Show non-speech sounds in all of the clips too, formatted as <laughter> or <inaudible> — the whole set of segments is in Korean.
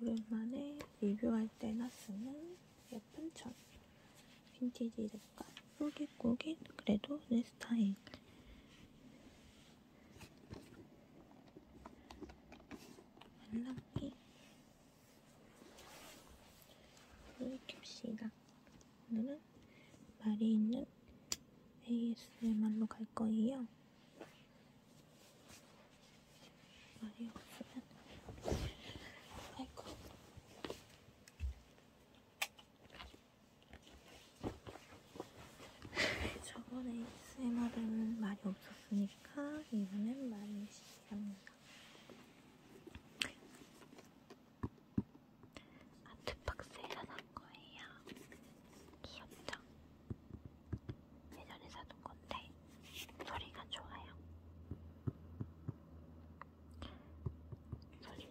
오랜만에 리뷰할 때나 쓰는 예쁜 천 빈티지 랩과 꾸깃꾸깃 그래도 내 스타일 안락기 물을 캡시다 오늘은 말이 있는 ASMR로 갈 거예요 말이 없으면 아이고 저번에 ASMR은 말이 없었으니까 이번엔 말이 시작합니다. 아트박스에서 산 거예요. 귀엽죠? 예전에 사둔 건데 소리가 좋아요. 손님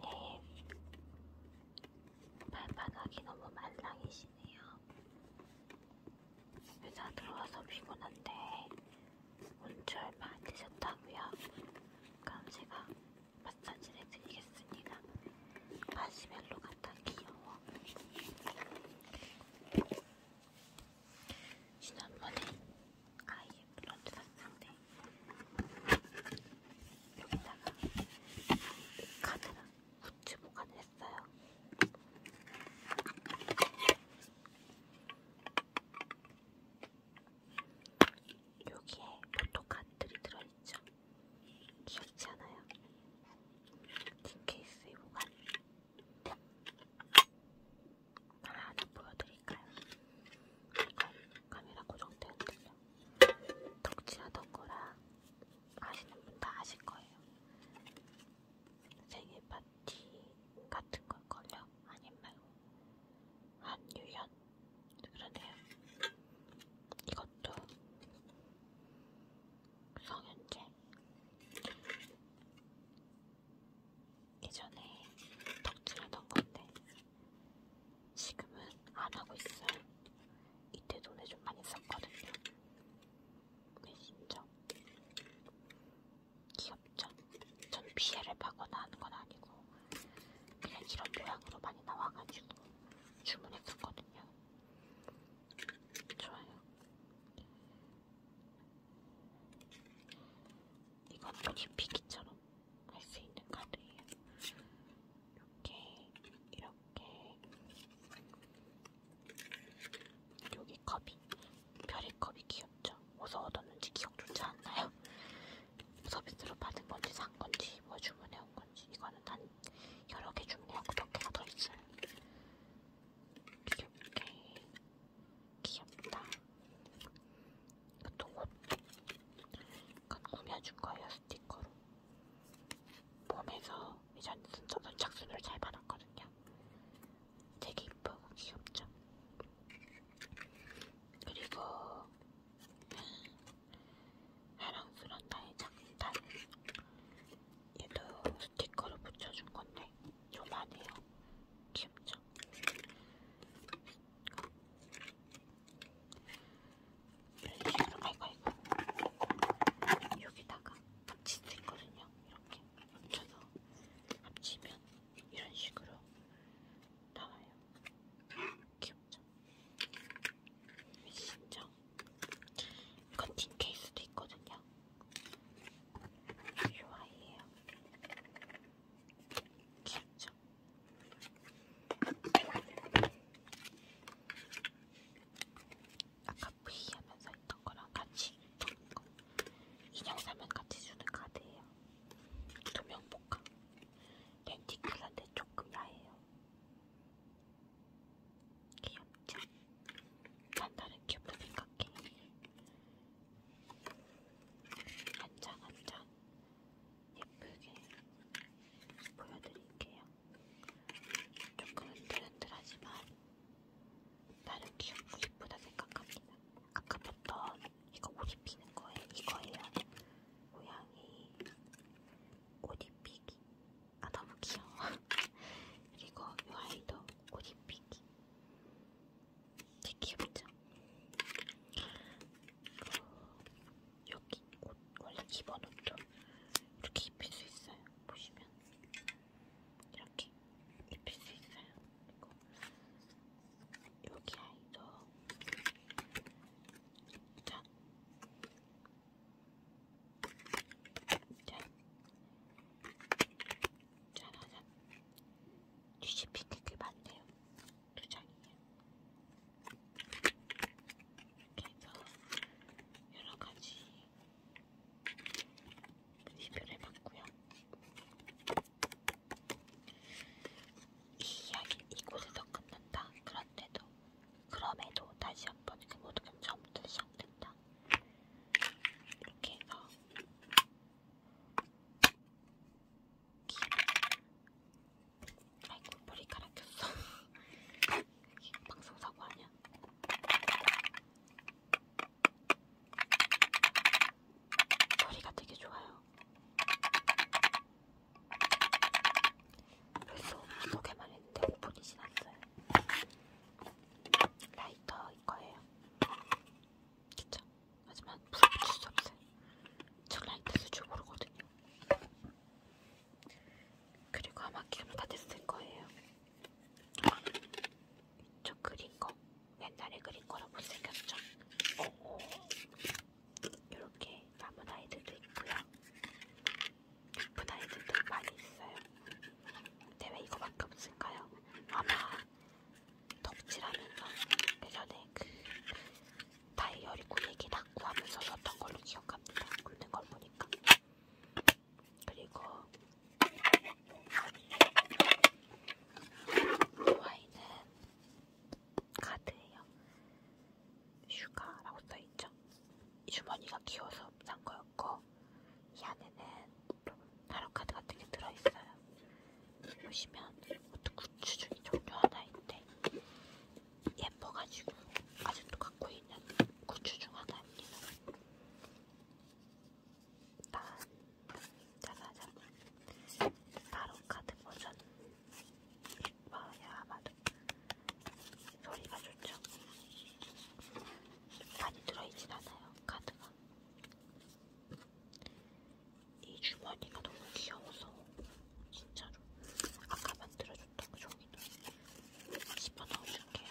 발바닥이 너무 말랑이시네요. 회사 들어와서 피곤한데 온줄 받으셨다고요? 그럼 제가 마사지를 해드리겠습니다. 마시멜로 같아 귀여워. 지난번에 아이의 블런드 샀는데 여기다가 카드랑 굿즈 보관을 했어요. 여기에 포토카드들이 들어있죠? 귀엽지 않아요? 틴 케이스에 보관 하나 보여드릴까요? 아까 카메라 고정되었는데요. 덕지하던 거라 아시는 분 다 아실 거예요. 생일 파티 같은 걸 걸려? 아님 말고 한유연 그러네요. 이것도 성현재 예전에 덕질하던 건데 지금은 안 하고 있어요. 이때 돈을 좀 많이 썼거든요. 메신저 귀엽죠? 전 피해를 받거나 하는 건 아니고 그냥 이런 모양으로 많이 나와가지고 주문했었거든요. 좋아요. 이것도 립피기처럼 할 수 있는 카드예요. 이렇게 이렇게 여기 컵이 별의 컵이 귀엽죠? 어디서 얻었는지 기억조차 안 나요. 서비스로 받은 건지 산 건지 뭐 주문해 온 건지 이거는 단 여러 개 주문하고 몇 개가 더 있어요. 귀엽게 귀엽다. 이것도 옷. 이건 꾸며준 거예요, 스티커로. 봄에서 이전 선착순으로 잘 받았거든요. 되게 이쁘고 귀엽죠? 그리고 사랑스런 나의 장단 얘도 스티커로 붙여준 건데 조만해요. 귀엽죠? 이런 식으로 아이고 아이고 여기다가 합칠 수 있거든요. 이렇게 붙여서 합치면 이런 식으로 나와요. 귀엽죠? 진짜. 커팅 케이스도 있거든요. 좋아해요. 귀엽죠? 아까 V 하면서 했던 거랑 같이 있던 거 인형 사면 같이 주는 카드예요. 두명 복합. 렌티클한데 조금 야해요. 귀엽죠? 단단한 큐브 생각해. 한장 한장 예쁘게 보여드릴게요. 조금은 드른드하지만 나름 귀엽고 예쁘다 생각합니다. 아까 봤던 이거 옷 입히는 거예요. 이거예요. 고양이 옷 입히기. 아 너무 귀여워. <laughs> 그리고 요 아이도 옷 입히기. 되게 귀엽죠? 그 여기 옷, 원래 기본 옷도 이렇게 입힐 수 있어요. 보시면 이렇게 입힐 수 있어요. 그리고 여기 아이도 짠! 짠! 짜라잔. 뒤집힌 게꽤 많네요. 두 장이에요. 그래서 여러 가지 리뷰를 해봤고요. 이 이야기 이곳에서 끝난다. 그런데도 그럼에도 다시 한번 그 모든 게 처음부터 시작된다. 이렇게 해서 아이고 머리 갈아꼈어 방송사고 아니야 소리가 되게 좋아요 벌써 소개만 했는데 5분이 지났어요 라이터일 거예요 진짜. 하지만 불을 붙일 수 없어요. 저 라인 뗄줄 모르거든요. 그리고 아마 기름 다 됐을 거예요. 저 그린 거. 옛날에 그린 거라 못생겼죠? 어. 이렇게 남은 아이들도 있고요. 예쁜 아이들도 많이 있어요. 대왜 이거밖에 없을까요? 아마 덕질하면서 예전에 그, 그 다이어리 꾸미기 닦고 하면서 썼던 걸로 기억합니다. 굽는 걸 보니까. 그리고 이 와인은 카드예요. 슈가라고 써있죠. 이 주머니가 귀여워서 산 거였고 이 안에는 타로카드 같은 게 들어있어요. 보시면 이것도 굿즈 중에 종류 하나인데 예뻐가지고 아직도 갖고 있는 굿즈 중 하나입니다. 딴, 짜자잔. 타로카드 버전. 예뻐야 아마도. 소리가 좋죠. 많이 들어있진 않아요. 카드가. 이 주머니가 너무 귀여워서 진짜로 아까 만들어줬던 그 종이도 집어넣어줄게요.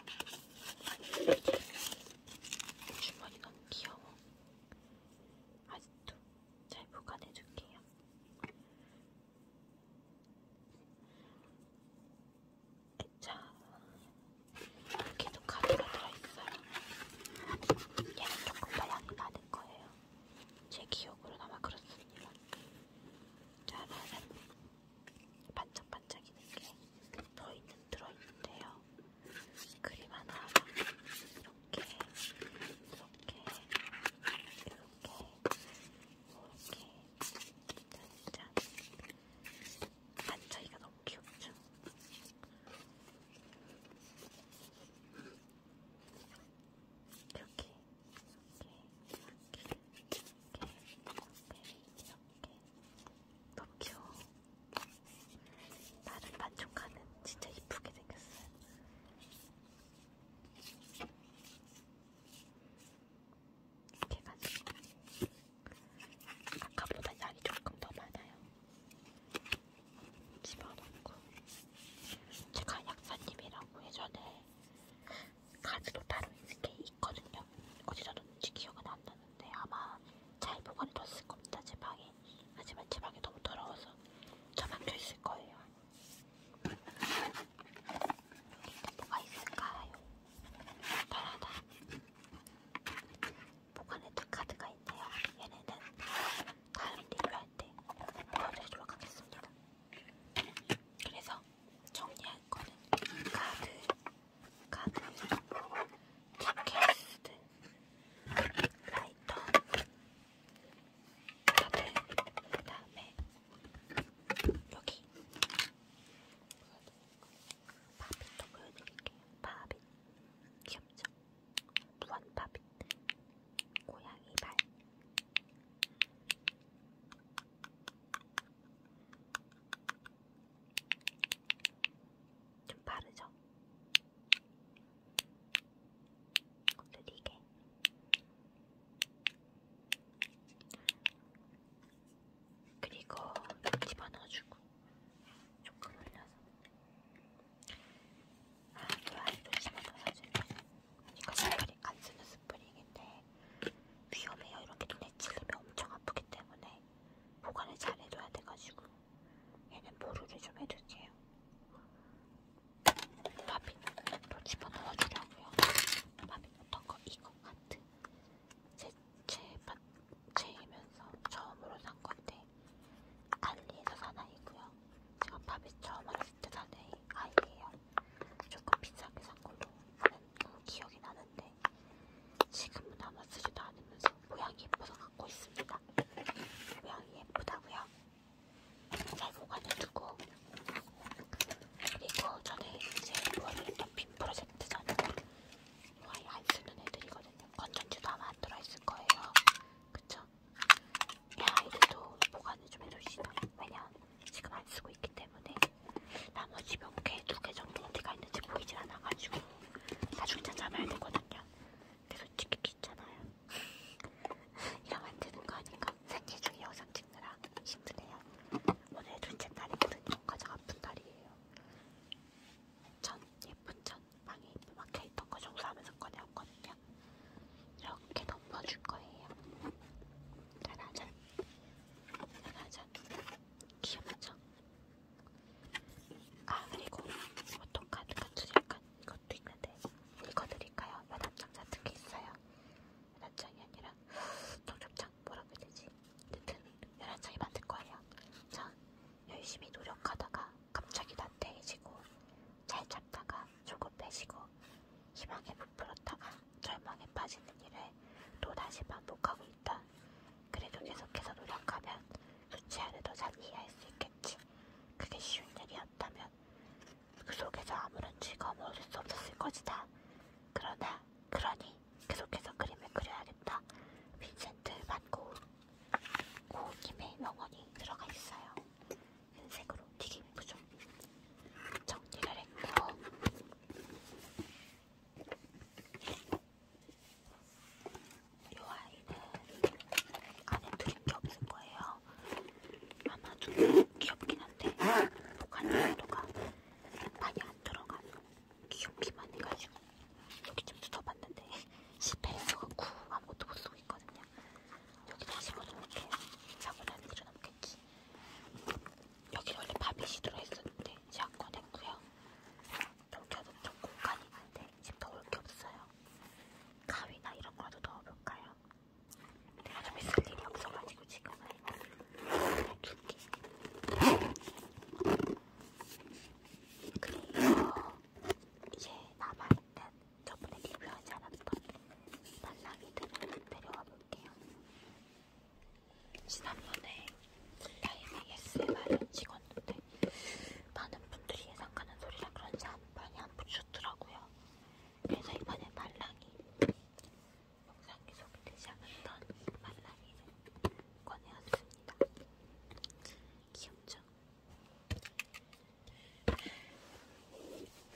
주머니 너무 귀여워. 아직도 잘 보관해줄게요. 애착 여기도 가루가 들어있어요. 얘는 조금 더 향이 나는 거예요. 제 기억으로는 아마 그렇습니다. 짜라란 반짝반짝이는 게더 있는 들어있는데요. 그림 하나 하나 이렇게 이렇게 이렇게 이렇게 짠짠 반 차이가 너무 귀엽죠? 이렇게, 이렇게, 이렇게, 이렇게, 이렇게, 너무 귀여워. 나를 만족하는 진짜 이쁘게 생겼어요. 이렇게 가지고. 아까보다 양이 조금 더 많아요. 집어넣고 제가 약사님이라고 예전에 가지도 따로 이렇게 있거든요. 어디 뒀는지 기억은 안 나는데 아마 잘 보관해 뒀을 겁니다. 제 방에. 하지만 제 방이 너무 더러워서 저만혀 있을 거예요. 뭐가 있을까요? 바라다 보관했던 카드가 있네요. 얘네는 다음 리뷰할 때 보여드리도록 하겠습니다. 그래서 정리할 거는 카드, 카드, 티켓, 라이터, 카드, 그 다음에 여기 바빗도 보여드릴게요. 바빗 귀엽죠? 무한 바빗 고양이 발좀 바르죠? 느리게 그리고 집어넣어주고 조금 올려서 아 또아이도 집어넣어야지 이거 스프링 안 쓰는 스프링인데 위험해요 이렇게 눈에 찔리면 엄청 아프기 때문에 보관을 잘 해줘야 돼가지고 얘는 보루를 좀 해둘게요 바비또 집어넣어주려고요 바비 어떤거 이거 하트 제제 책이면서 처음으로 산 건데 알리에서 산 아이고요. 제가 밥이 처음 알았을 때산 아이예요. 조금 비싸게 산 걸로 기억이 나는데 지금은 아마 쓰지도 않으면서 모양이 예뻐서 갖고 있습니다. 모양이 예쁘다고요. 잘 보관해두고 그리고 전에 이제 보여드렸던 빔 프로젝트잖아요. 거의 안 쓰는 애들이거든요. 건전지도 아마 안 들어있을 거예요. 그쵸? 이 아이들도 보관을 좀 해줍시다. 왜냐? 지금 안 쓰고 있기 때문에 나머지 몇 개, 두 개 정도 어디가 있는지 보이질 않아가지고 나중에 찾아봐야 되거든요. 근데 솔직히 귀찮아요. 이러면 안 되는 거 아닌가? 생일 중에 영상 찍느라 힘드네요. 오늘 둘째 날이거든요. 가장 아픈 날이에요. 전 예쁜 천방이 막혀있던 거 청소하면서 꺼내왔거든요. 이렇게 덮어줄 거예요. 짜라잔. 짜라잔. 귀엽죠? 아, 그리고 보통 카드 같은 약간 이것도 있는데 읽어드릴까요? 연합장 같은 게 있어요. 연합장이 아니라 동접장 뭐라고 해야 되지? 여튼 연합장이 만들 거예요. 자, 열심히 노력하다가 갑자기 난태해지고 잘 참다가 조급해지고 희망에 부풀었다가 절망에 빠지는 일을 또다시 반복하고 있다. 그래도 계속해서 노력하면 교체하려 더잘 이해할 수 있겠지. 그게 쉬운 일이었다면 그 속에서 아무런 즐거움을 얻을 수 없었을 것이다. 그러나 그러니 계속해서 그림을 그려야겠다. 빈센트 반고 고우님의 명언이 들어가 있어요. 흰색으로 튀김 부족. 정리를 했고 이 아이는 안에 드림게 없을 거예요. 아마 좀 귀엽긴 한데 보관 정도가 많이 안 들어가서 귀엽기만 해가지고 이렇게 좀 뜯어봤는데 <laughs> 실패해가지고 아무것도 못 쓰고 있거든요. 여기 다시 넣어놓을게요. 작은 안에 들어놓겠지. 여기 원래 바비시드로 했었는데 이제 안 꺼냈고요. 여기도 좀 공간이 있는데 지금 넣을 게 없어요. 가위나 이런 거라도 넣어볼까요? 내가 좀 있을 일이 없어가지고 지금은 줄게. 네, 그리고 이제 남아있는 저번에 리뷰하지 않았던 말랑이들을 데려와 볼게요. 지난번에 라이브 ASMR을 찍었는데 많은 분들이 예상가는 소리라 그런지 한 번이 안 붙였더라고요. 그래서 이번에 말랑이 영상에 소개되지 않았던 말랑이를 꺼내왔습니다. 귀엽죠?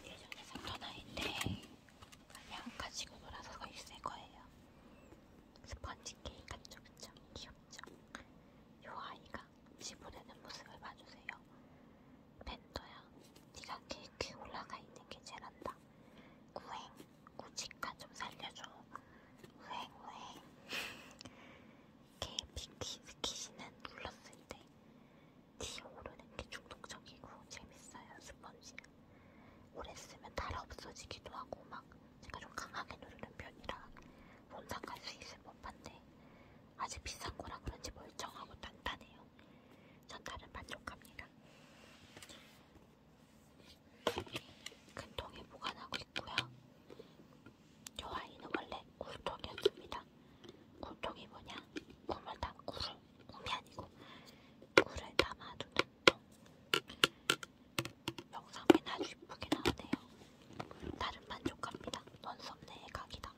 예전에 샀던 아이인데 그냥 가지고 놀아서 거의 새 거예요. 스펀지 케이크 같죠? 그쵸? 귀엽죠? 요 아이가 지불에는 모습을 봐주세요. 벤토야, 네가 케이크에 올라가 있는 게 제란다. 우행, 우직가 좀 살려줘. 우행, 우행. KBT 스키시는 눌렀을때 뒤에 오르는게 중독적이고 재밌어요 스펀지는 오래 쓰면 달아 없어지기도 하고 막 제가 좀 강하게 누르는 편이라 혼탁할 수 있을 법한데 아주 비싼 거라 그런지 멀쩡하고 단단해요 전달은 만족합니다 큰 통에 보관하고 있고요 요 아이는 원래 굴통이었습니다. 굴통이 뭐냐? 굴을 담, 굴을, 굴이 아니고 굴을 담아두는 통. 영상이 아주 이쁘게 나오네요. 다른 만족합니다. 넌썸네의 각이다.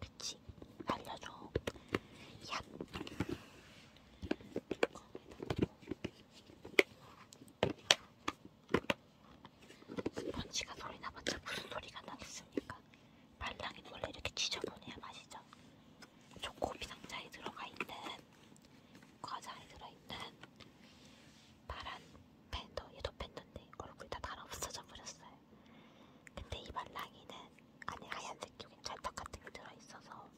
그치? 알려줘. 얍. 스펀지가 소리 나봤자 무슨 소리가 나겠습니까? 발랑이는 원래 이렇게 지저분해야 맛이죠. 초코비 상자에 들어가 있는 과자에 들어있는 파란 팬더 얘도 팬더인데 얼굴 다 달아 없어져 버렸어요. 근데 이 발랑이는 안에 하얀색 기운 찰떡 같은 게 들어있어서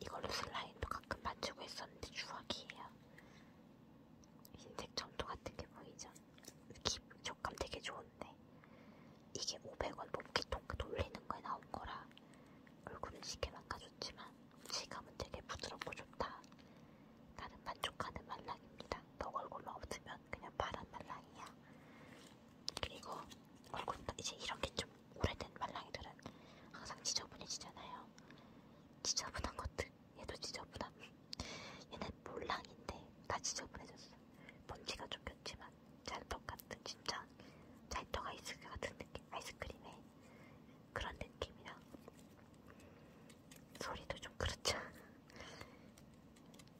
이걸로 슬라임도 가끔 맞추고 있었는데 추억이에요. 흰색 점토 같은 게 보이죠? 깊, 촉감 되게 좋은데 이게 500원 뽑기통 그 돌리는 거에 나온 거라 얼굴은 쉽게 망가졌지만 질감은 되게 부드럽고 좋다. 나는 만족하는 말랑입니다. 너 얼굴만 없으면 그냥 파란 말랑이야. 그리고 얼굴 이제 이런 게좀 오래된 말랑이들은 항상 지저분해지잖아요. 지저분한 것들 얘도 지저분함. 얘는 몰랑인데 다 지저분해졌어. 먼지가 좀 꼈지만 찰떡 같은 진짜 찰떡 아이스크림 같은 느낌, 아이스크림에 그런 느낌이라 소리도 좀 그렇죠.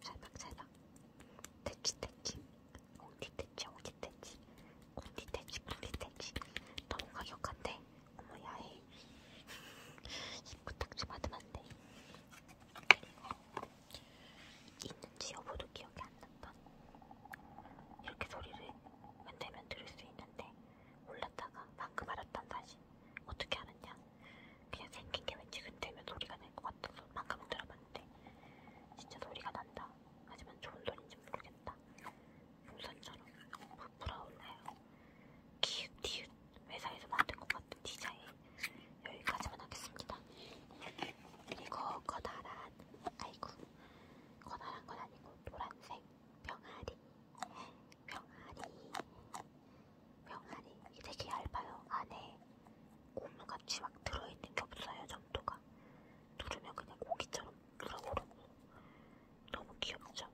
살박살박. 대치 대치. 엉디 대치 엉디 대치. 엉디 대치 엉디 대치. 너무 가격한데. 어머 야해 부탁 좀 받으면 안 돼. 있는지 여보도 기억이 안 난다. 이렇게 소리를 웬되면 들을 수 있는데 몰랐다가 방금 알았단 사실 어떻게 알았냐? 그냥 생긴 게 왠지 근되면 소리가 날 것 같아서 방금 들어봤는데 진짜 소리가 난다. 하지만 좋은 소리인지 모르겠다. 풍선처럼 너무 부러운데요. 키웃디웃 회사에서 만든 것 같은 디자인 여기까지만 하겠습니다. 그리고 커다란 아이고 커다란 건 아니고 노란색 병아리 병아리 병아리 이게 되게 얇아요. 안에 고무같이 막 들어있는 게 없어요. 점도가 누르면 그냥 고기처럼 들어오르고 너무 귀엽죠?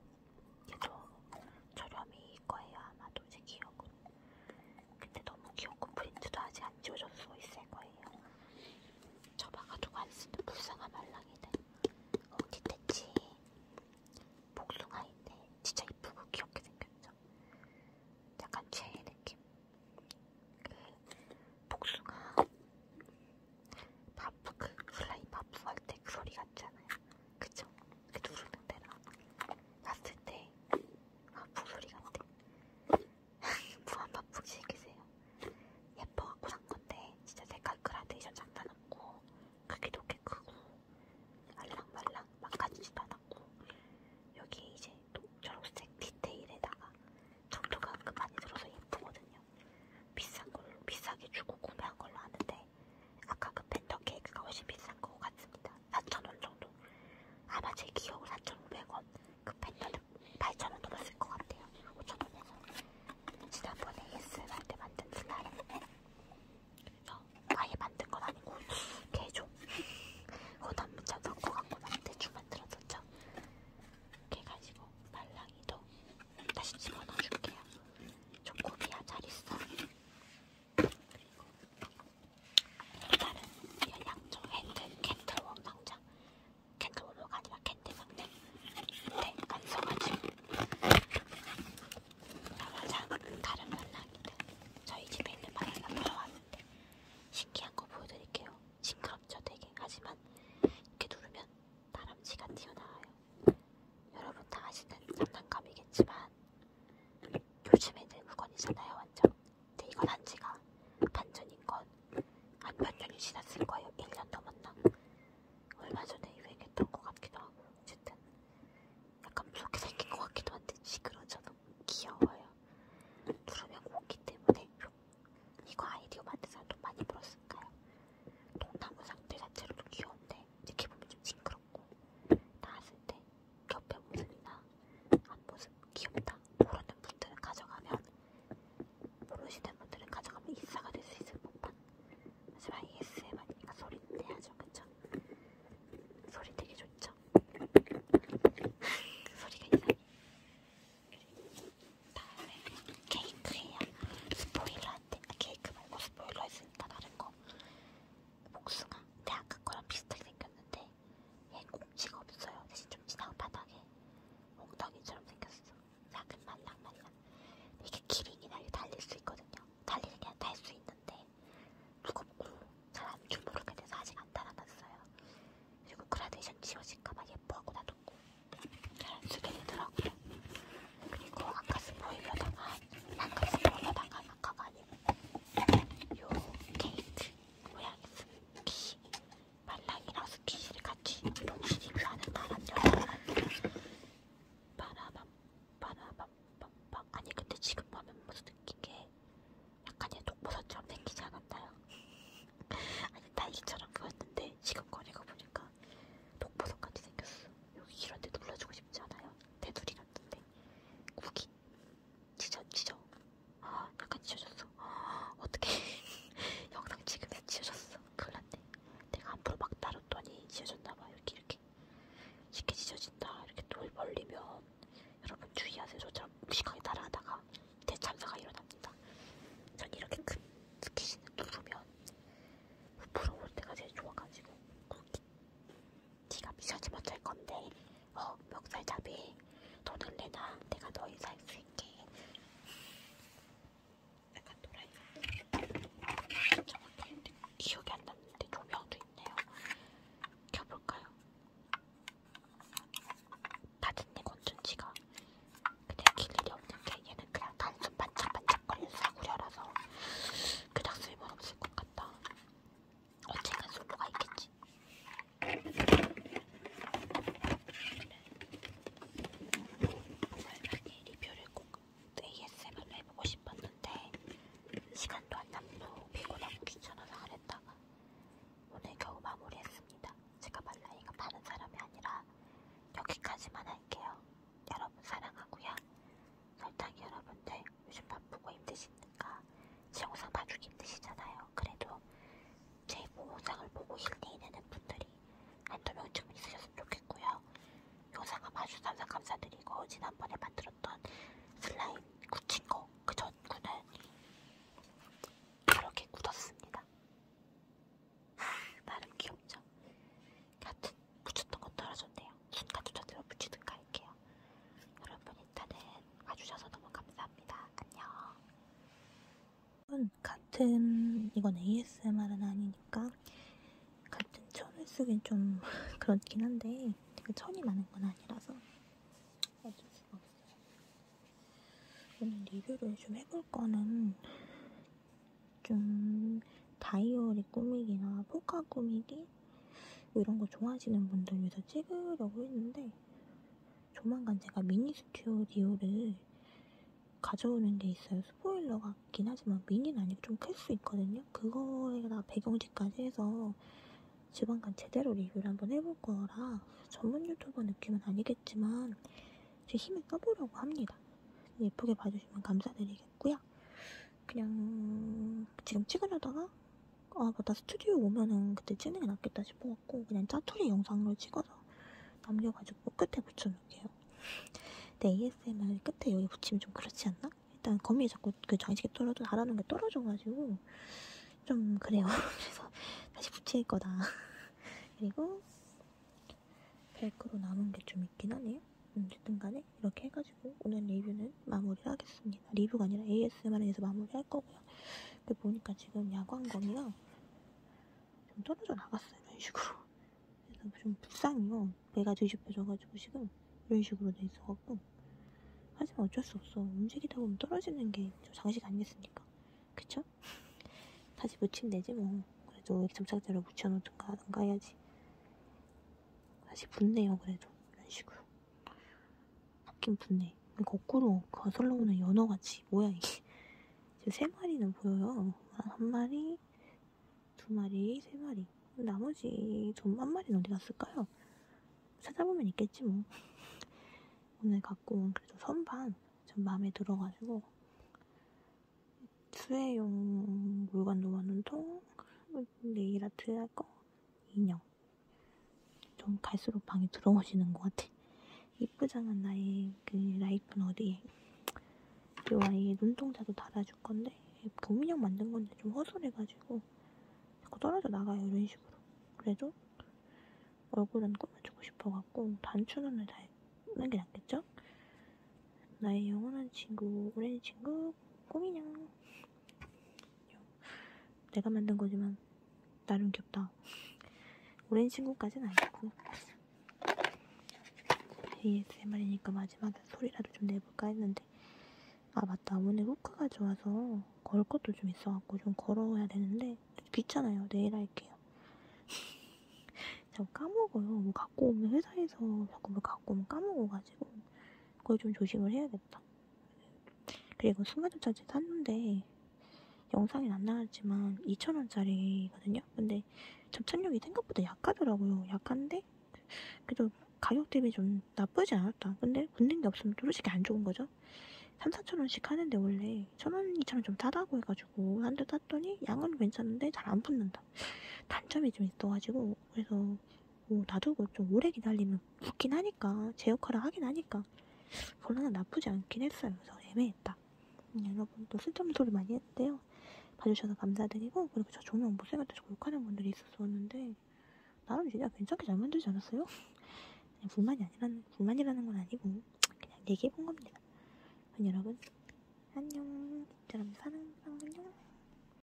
얘도 저렴이일 거예요 아마도 제 기억은. 근데 너무 귀엽고 프린트도 아직 안 지워졌어 있을 거예요. 저 막아두고 안 쓰는 불쌍한 말랑이네. 어디 됐지? 복숭아인데 진짜 이쁘고 귀엽게 생겼죠? 약간 제 느낌. 그 복숭아 바프 그 슬라임 바프 할 때 그 소리 같잖아요. 그쵸? 그 누르는 데랑 봤을 때 아픈 소리 같아. 무한 반복 시키세요. 예뻐 갖고 산 건데 진짜 데칼크라데이션 장난 없고 크기도 꽤 크고 말랑말랑 망가지지도 않았고 여기 이제 또 초록색 디테일에다가 정도가 은근 많이 들어서 예쁘거든요. 비싼 걸로 비싸게 주고 구매한 걸로 아는데 아까 그 펜더 케이크가 훨씬 비싼 것 같습니다. 4,000원 정도. 아마 제 기억으로 4,500원. 그 펜더는 8,000원 넘었을 것 같아요. 5,000원에서. 지난번에 예스를 할때 만든 슬라임. 그 그래서 아예 만든 건 아니고, 개종. 호단 <laughs> 문자 넣고 갖고 막 대충 만들었었죠. 걔 가지고 말랑이도 다시 집어넣어줄게요. 초코비야 잘 있어. 그리고 다른 열량조 핸드 캔틀웜 상자. 캔틀웜이 아니라 캔디 상자. 네, 안 써가지고. 나가자 다른 말랑이들. 저희 집에 있는 말랑이가 돌아왔는데 신기한 거 보여드릴게요. 싱그럽죠 되게. 하지만 이렇게 누르면 다람쥐가 튀어나와요. 여러분 다 아시는 장난감이겠지만 요즘 애들 물건이잖아요 완전 근데 이건 한지가 반전인 건한몇 년이 지났을 거예요 1년 넘었나 얼마 전에 유행했던 것 같기도 하고 어쨌든 약간 무섭게 생긴 것 같기도 한데 시그러져 너무 귀여워요 누르면 오기 때문에 이거 아이디어 만든 사람 돈 많이 벌었을까요? 동나무 상태 자체로도 귀여운데 이렇게 보면 좀 징그러워 귀엽고 나왔을 때 옆에 모습이나 앞모습 귀엽다 모르는 분들은 가져가면 모르시는 분들은 가져가면 인싸가 될 수 있을 법한 하지만 ASMR이니까 소리는 내야죠 그쵸? 소리 되게 좋죠? <laughs> 소리가 이상해 다음에 케이크에요 스포일러 같아. 케이크 말고 스포일러 했으니까 다른 거. 복숭아. 근데 아까 거랑 비슷하게 생겼는데 얘 꼭지가 없어요. 대신 좀 진한 바닥에 엉덩이처럼 생겼어. 작은 말랑말랑. 이게 기린이나 이렇게 달릴 수 있거든요. 달리는 게 달수 있는데 무겁고 잘안 주무르게 돼서 아직 안 달아났어요. 그리고 그라데이션 지워질까봐 예뻐하고 놔뒀고 잘안 쓰게 되더라고요. 그리고 아까 스포일러다가 아까 스포일러다가 아까가 아니고 요 케이크 모양이 스키 말랑이랑 스키시를 같이 이런 시집을 하는 바람요 바라밤 바라밤 빡빡 아니 근데 지금 보면 무슨 느낀게 약간의 독버섯처럼 생기지 않았나요? 아니 딸기처럼 보였는데 지금 거리고 보니까 독버섯같이 생겼어 여기 이런데 눌러주고 싶지 않아요? 테두리 같은데 구기 지져 지져 아 약간 지져졌어 아, 어떻게 <laughs> 영상 찍으면 지져졌어 큰일났네 내가 앞으로 막 다뤘더니 지져졌나봐 이렇게 이렇게 쉽게 지져진다 이렇게 돌 벌리면 여러분 주의하세요 저처럼 무식하게 따라하다가 대참사가 일어납니다 전 이렇게 큰 스키신을 누르면 부러울 때가 제일 좋아가지고 구기 네가 미션이 못할 건데 어 멱살잡이 돈을 내놔 내가 너희 살 수 있게 약간 돌아있어 정확히 기억이 안 났는데 조명도 있네요 켜볼까요? 다듣네 건전지가 근데 길 일이 없는게 얘는 그냥 단순 반짝반짝거리는 사구려라서 그냥 쓸모없을 것 같아. 언젠간 솔로가 있겠지. 말랑이 리뷰를 꼭 ASMR로 해보고 싶었는데 시간도 안 남고 피곤하고 귀찮아서 안 했다가 오늘 겨우 마무리했습니다. 제가 말랑이가 파는 사람이 아니라 여기까지만 할게요. 여러분 사랑하고요. 설탕이 여러분들 요즘 바쁘고 힘드시니까 제 영상 봐주기 힘드시잖아요. 그래도 제 영상을 보고 힐링이 되는 분들이 한두 명쯤은 있으셨으면 좋겠고요. 영상을 봐주셔서 항상 감사드리고 지난번에 만들었던 슬라임 굳힌 거그 전구는 이렇게 굳었습니다. 나름 귀엽죠? 같은 붙였던 건 떨어졌네요. 순간도 저대로 붙이든가 할게요. 여러분 일단은 와주셔서 너무 감사합니다. 안녕. 같은 이건 ASMR은 아니니까 같은 천을 쓰긴 좀 <laughs> 그렇긴 한데 되게 천이 많은 건 아니라서 어쩔 수가 없어요. 오늘 리뷰를 좀 해볼 거는 좀 다이어리 꾸미기나 포카 꾸미기 뭐 이런 거 좋아하시는 분들 위해서 찍으려고 했는데 조만간 제가 미니 스튜디오를 가져오는 게 있어요. 스포일러 같긴 하지만 미니는 아니고 좀 클 수 있거든요. 그거에다 배경지까지 해서 지방간 제대로 리뷰를 한번 해볼 거라 전문 유튜버 느낌은 아니겠지만 제 힘을 써보려고 합니다. 예쁘게 봐주시면 감사드리겠고요. 그냥 지금 찍으려다가 아 맞다 스튜디오 오면은 그때 찍는 게 낫겠다 싶어갖고 그냥 짜투리 영상으로 찍어서 남겨가지고 끝에 붙여놓을게요. 근데 ASMR 끝에 여기 붙이면 좀 그렇지 않나? 일단 거미에 자꾸 그 장식이 떨어져 달아놓은 게 떨어져가지고 좀 그래요. <laughs> 그래서 다시 붙일 거다. <laughs> 그리고 벨크로 남은 게 좀 있긴 하네요. 음, 어쨌든 간에 이렇게 해가지고 오늘 리뷰는 마무리를 하겠습니다. 리뷰가 아니라 ASMR을 해서 마무리할 거고요. 근데 보니까 지금 야광검이랑 좀 떨어져 나갔어요. 이런 식으로. 그래서 좀 불쌍해요. 배가 뒤집혀져가지고 지금 이런 식으로 돼 있어갖고. 하지만 어쩔 수 없어. 움직이다 보면 떨어지는 게 장식 아니겠습니까? 그쵸? <laughs> 다시 붙이면 되지 뭐. 그래도 점착제로 붙여놓든가 하든가 해야지. 다시 붙네요 그래도 이런 식으로 붙긴 붙네 거꾸로 거슬러 오는 연어같이 뭐야 이게 지금 세 마리는 보여요 한 마리 두 마리 세 마리 나머지 좀한 마리는 어디 갔을까요 찾아보면 있겠지 뭐 <laughs> 오늘 갖고 온 그래도 선반 좀 마음에 들어가지고 수혜용 물건 놓아놓은 통 네일 아트하고 인형. 좀 갈수록 방에 들어오시는 것 같아. 이쁘잖아 나의 그 라이프는 어디에. 요 아이의 눈동자도 달아줄 건데 봄인형 만든 건데 좀 허술해가지고 자꾸 떨어져 나가요 이런 식으로. 그래도 얼굴은 꾸며주고 싶어갖고 단추눈을 달는 게 낫겠죠? 나의 영원한 친구, 오랜 친구, 꼬미냥. 내가 만든 거지만 나름 귀엽다. 오랜 친구까지는 아니고 ASMR이니까 마지막에 소리라도 좀 내볼까 했는데 아 맞다 오늘 후크가 좋아서 걸 것도 좀 있어갖고 좀 걸어야 되는데 귀찮아요 내일 할게요 <laughs> 자꾸 까먹어요 뭐 갖고 오면 회사에서 자꾸 뭘 뭐 갖고 오면 까먹어가지고 그걸 좀 조심을 해야겠다. 그리고 순간전차제 샀는데 영상엔 안 나왔지만 2,000원짜리거든요. 근데 접착력이 생각보다 약하더라고요. 약한데 그래도 가격 대비 좀 나쁘지 않았다. 근데 붙는 게 없으면 솔직히 안 좋은 거죠. 3, 4천원씩 하는데 원래 천원, 이천원 좀 싸다고 해가지고 한대 샀더니 양은 괜찮은데 잘 안 붙는다. 단점이 좀 있어가지고 그래서 좀뭐 놔두고 좀 오래 기다리면 붙긴 하니까 제 역할을 하긴 하니까 결론은 나쁘지 않긴 했어요. 그래서 애매했다. 음, 여러분 또 쓸데없는 소리 많이 했는데요. 봐주셔서 감사드리고 그리고 저 조명 못생길 때 자꾸 욕하는 분들이 있었었는데 나름 진짜 괜찮게 잘 만들지 않았어요? 그냥 불만이 아니라는 불만이라는 건 아니고 그냥 얘기해 본 겁니다. 여러분 안녕. 이처럼 사는 안녕.